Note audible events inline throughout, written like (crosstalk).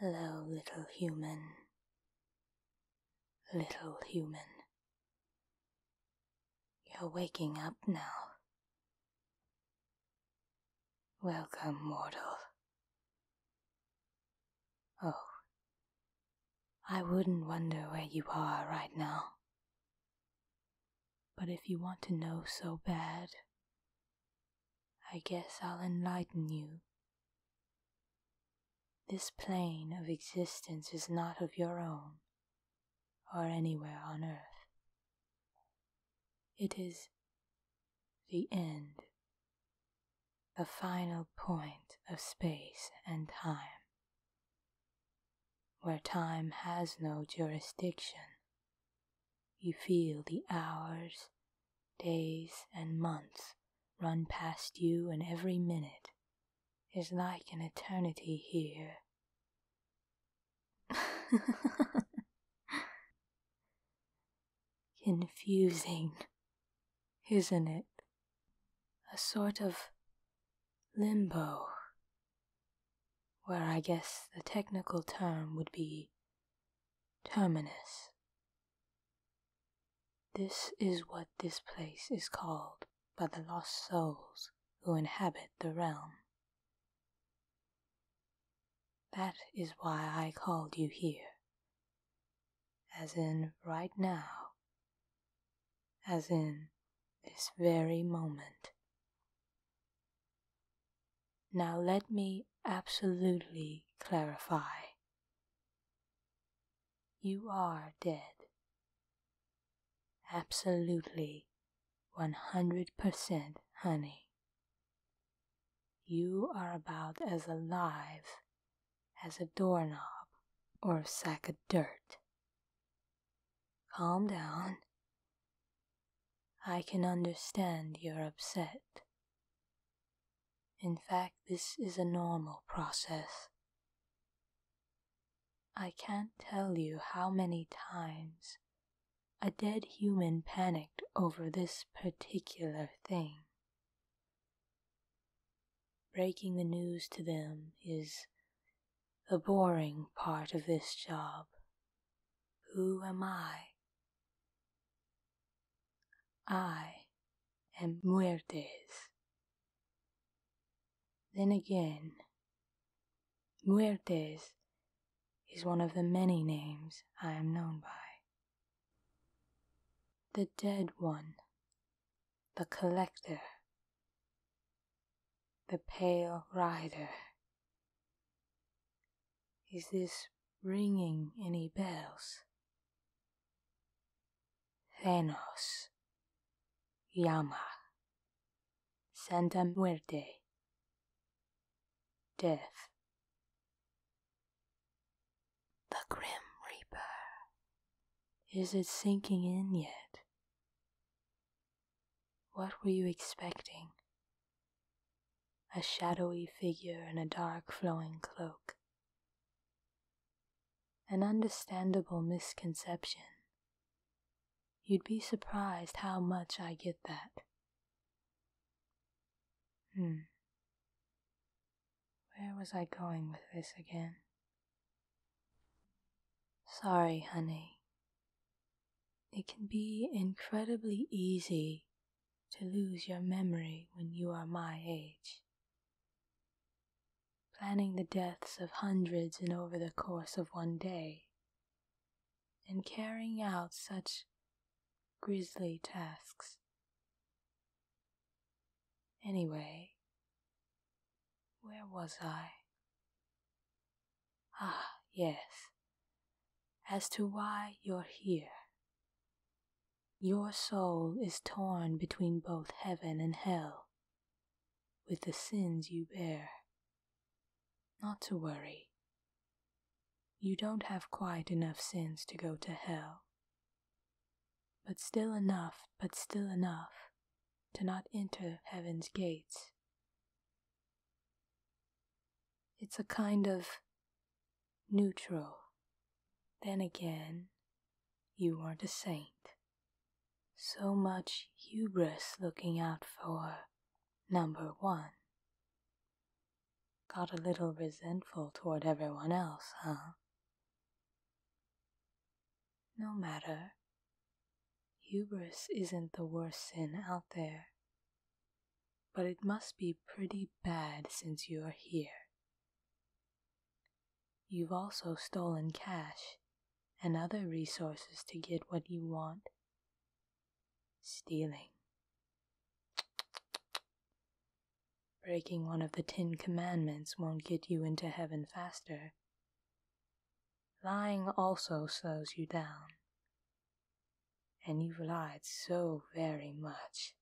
Hello, little human little human. You're waking up now. Welcome, mortal. Oh, I wouldn't wonder where you are right now. But if you want to know so bad, I guess I'll enlighten you. This plane of existence is not of your own or anywhere on earth. It is the end, the final point of space and time, where time has no jurisdiction. You feel the hours Days and months run past you, and every minute is like an eternity here. (laughs) Confusing, isn't it? A sort of limbo, where I guess the technical term would be terminus. This is what this place is called by the lost souls who inhabit the realm. That is why I called you here. As in right now. As in this very moment. Now let me absolutely clarify you are dead. Absolutely 100% honey. You are about as alive as a doorknob or a sack of dirt. Calm down. I can understand you're upset. In fact, this is a normal process. I can't tell you how many times a dead human panicked over this particular thing. Breaking the news to them is the boring part of this job. Who am I? I am Muertes. Then again, Muertes is one of the many names I am known by. The dead one, the collector, the pale rider, is this ringing any bells? Thanos, Yama, Santa Muerte, Death. The Grim Reaper. Is it sinking in yet? What were you expecting? a shadowy figure in a dark flowing cloak. An understandable misconception. You'd be surprised how much I get that. Hmm. Where was I going with this again? Sorry, honey. It can be incredibly easy to lose your memory when you are my age. Planning the deaths of hundreds in over the course of one day, and carrying out such grisly tasks. Anyway, where was I? Ah, yes, as to why you're here. Your soul is torn between both heaven and hell with the sins you bear. Not to worry. You don't have quite enough sins to go to hell. But still enough, but still enough to not enter heaven's gates. It's a kind of neutral. Then again, you aren't a saint. So much hubris looking out for number one. Got a little resentful toward everyone else, huh? No matter. Hubris isn't the worst sin out there but it must be pretty bad since you're here. You've also stolen cash and other resources to get what you want. Stealing. Breaking one of the Ten Commandments won't get you into heaven faster. Lying also slows you down, and you have lied so very much.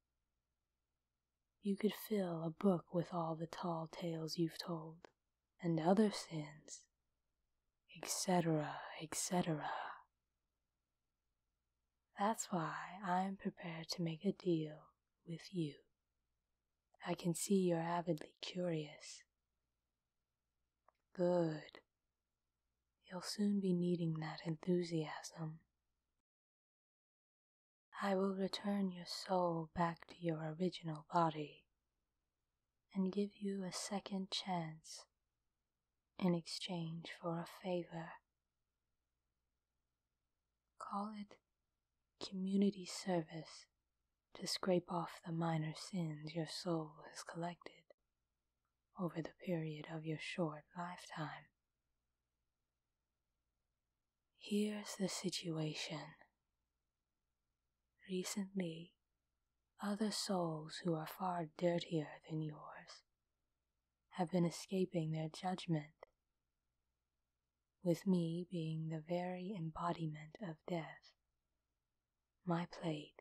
You could fill a book with all the tall tales you've told, and other sins, etc., etc. That's why I'm prepared to make a deal with you. I can see you're avidly curious. Good. You'll soon be needing that enthusiasm. I will return your soul back to your original body and give you a second chance in exchange for a favor. Call it community service to scrape off the minor sins your soul has collected over the period of your short lifetime. Here's the situation. Recently, other souls who are far dirtier than yours have been escaping their judgment, with me being the very embodiment of death my plate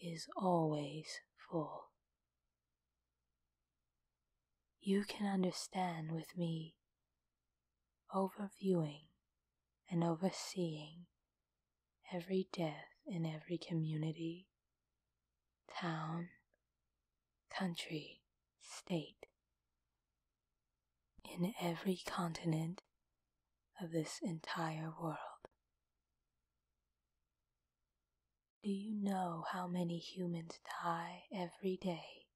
is always full. You can understand with me, overviewing and overseeing every death in every community, town, country, state, in every continent of this entire world. Do you know how many humans die every day?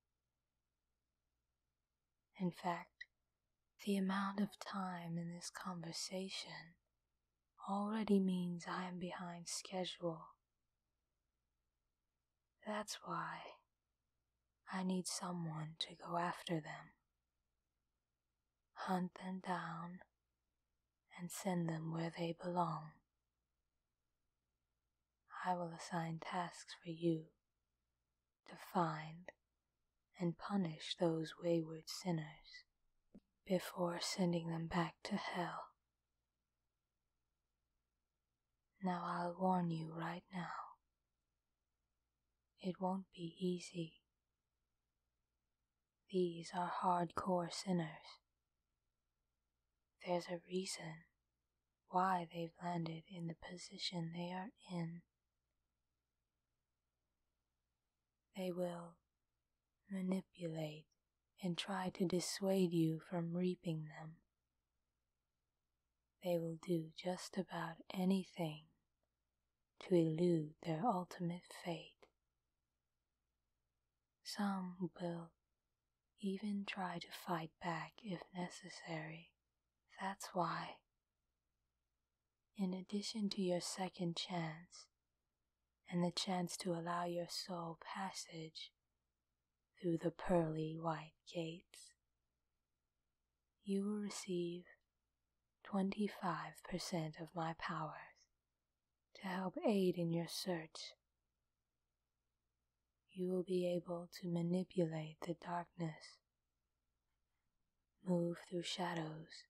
In fact, the amount of time in this conversation already means I am behind schedule. That's why I need someone to go after them hunt them down, and send them where they belong. I will assign tasks for you to find and punish those wayward sinners before sending them back to hell. Now I'll warn you right now. It won't be easy. These are hardcore sinners. There's a reason why they've landed in the position they are in. They will manipulate and try to dissuade you from reaping them. They will do just about anything to elude their ultimate fate. Some will even try to fight back if necessary. That's why, in addition to your second chance and the chance to allow your soul passage through the pearly white gates, you will receive 25% of my powers to help aid in your search. You will be able to manipulate the darkness, move through shadows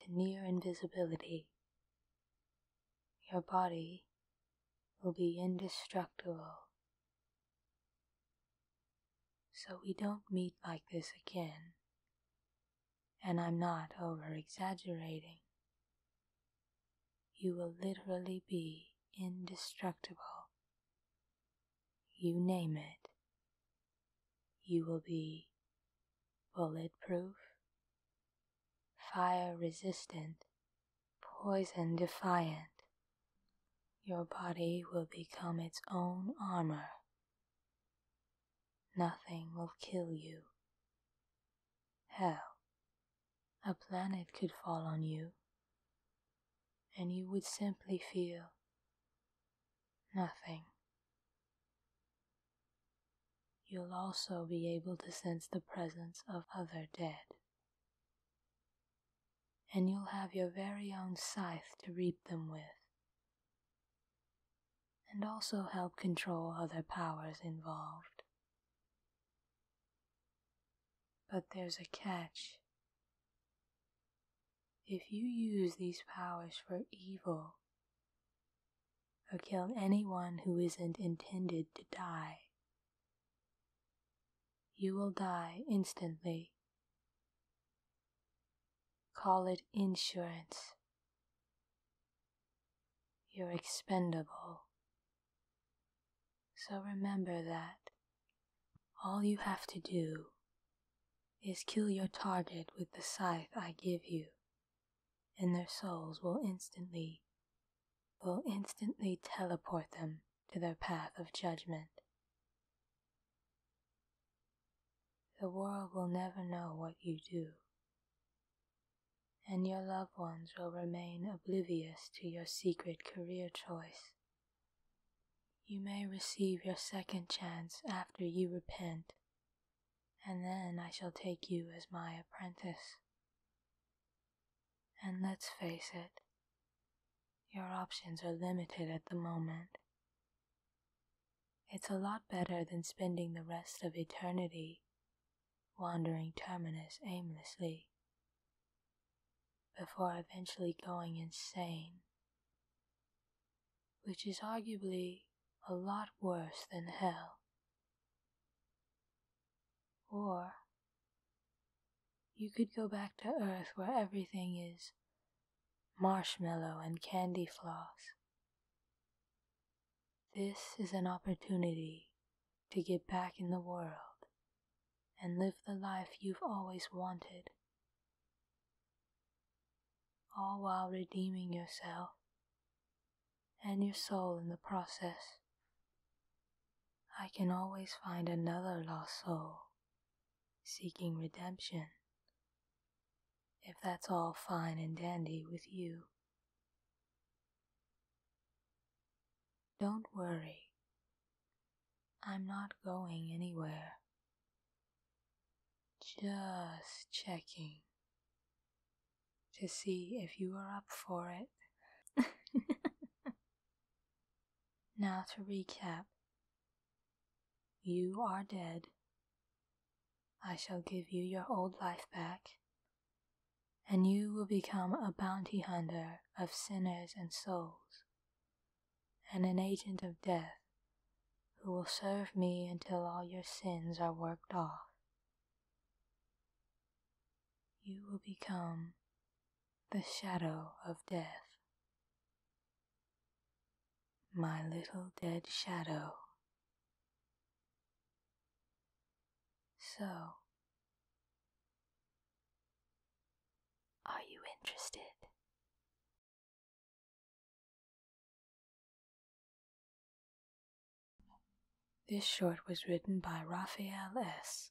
to near invisibility. Your body will be indestructible so we don't meet like this again. And I'm not over exaggerating. You will literally be indestructible. You name it. You will be bulletproof, fire resistant, poison defiant. Your body will become its own armor Nothing will kill you. Hell, a planet could fall on you, and you would simply feel nothing. You'll also be able to sense the presence of other dead. And you'll have your very own scythe to reap them with and also help control other powers involved. But there's a catch. If you use these powers for evil, or kill anyone who isn't intended to die, you will die instantly. Call it insurance. You're expendable. So remember that all you have to do is kill your target with the scythe I give you, and their souls will instantly, will instantly teleport them to their path of judgment. The world will never know what you do, and your loved ones will remain oblivious to your secret career choice. You may receive your second chance after you repent, and then I shall take you as my apprentice. And let's face it, your options are limited at the moment. It's a lot better than spending the rest of eternity wandering terminus aimlessly before eventually going insane, which is arguably a lot worse than hell. Or you could go back to Earth where everything is marshmallow, and candy floss. This is an opportunity to get back in the world and live the life you've always wanted, all while redeeming yourself and your soul in the process. I can always find another lost soul seeking redemption. If that's all fine and dandy with you, don't worry. I'm not going anywhere. Just checking to see if you are up for it. (laughs) now to recap you are dead. I shall give you your old life back, and you will become a bounty hunter of sinners and souls, and an agent of death who will serve me until all your sins are worked off. You will become the shadow of death. My little dead shadow. So, are you interested? This short was written by Raphael S.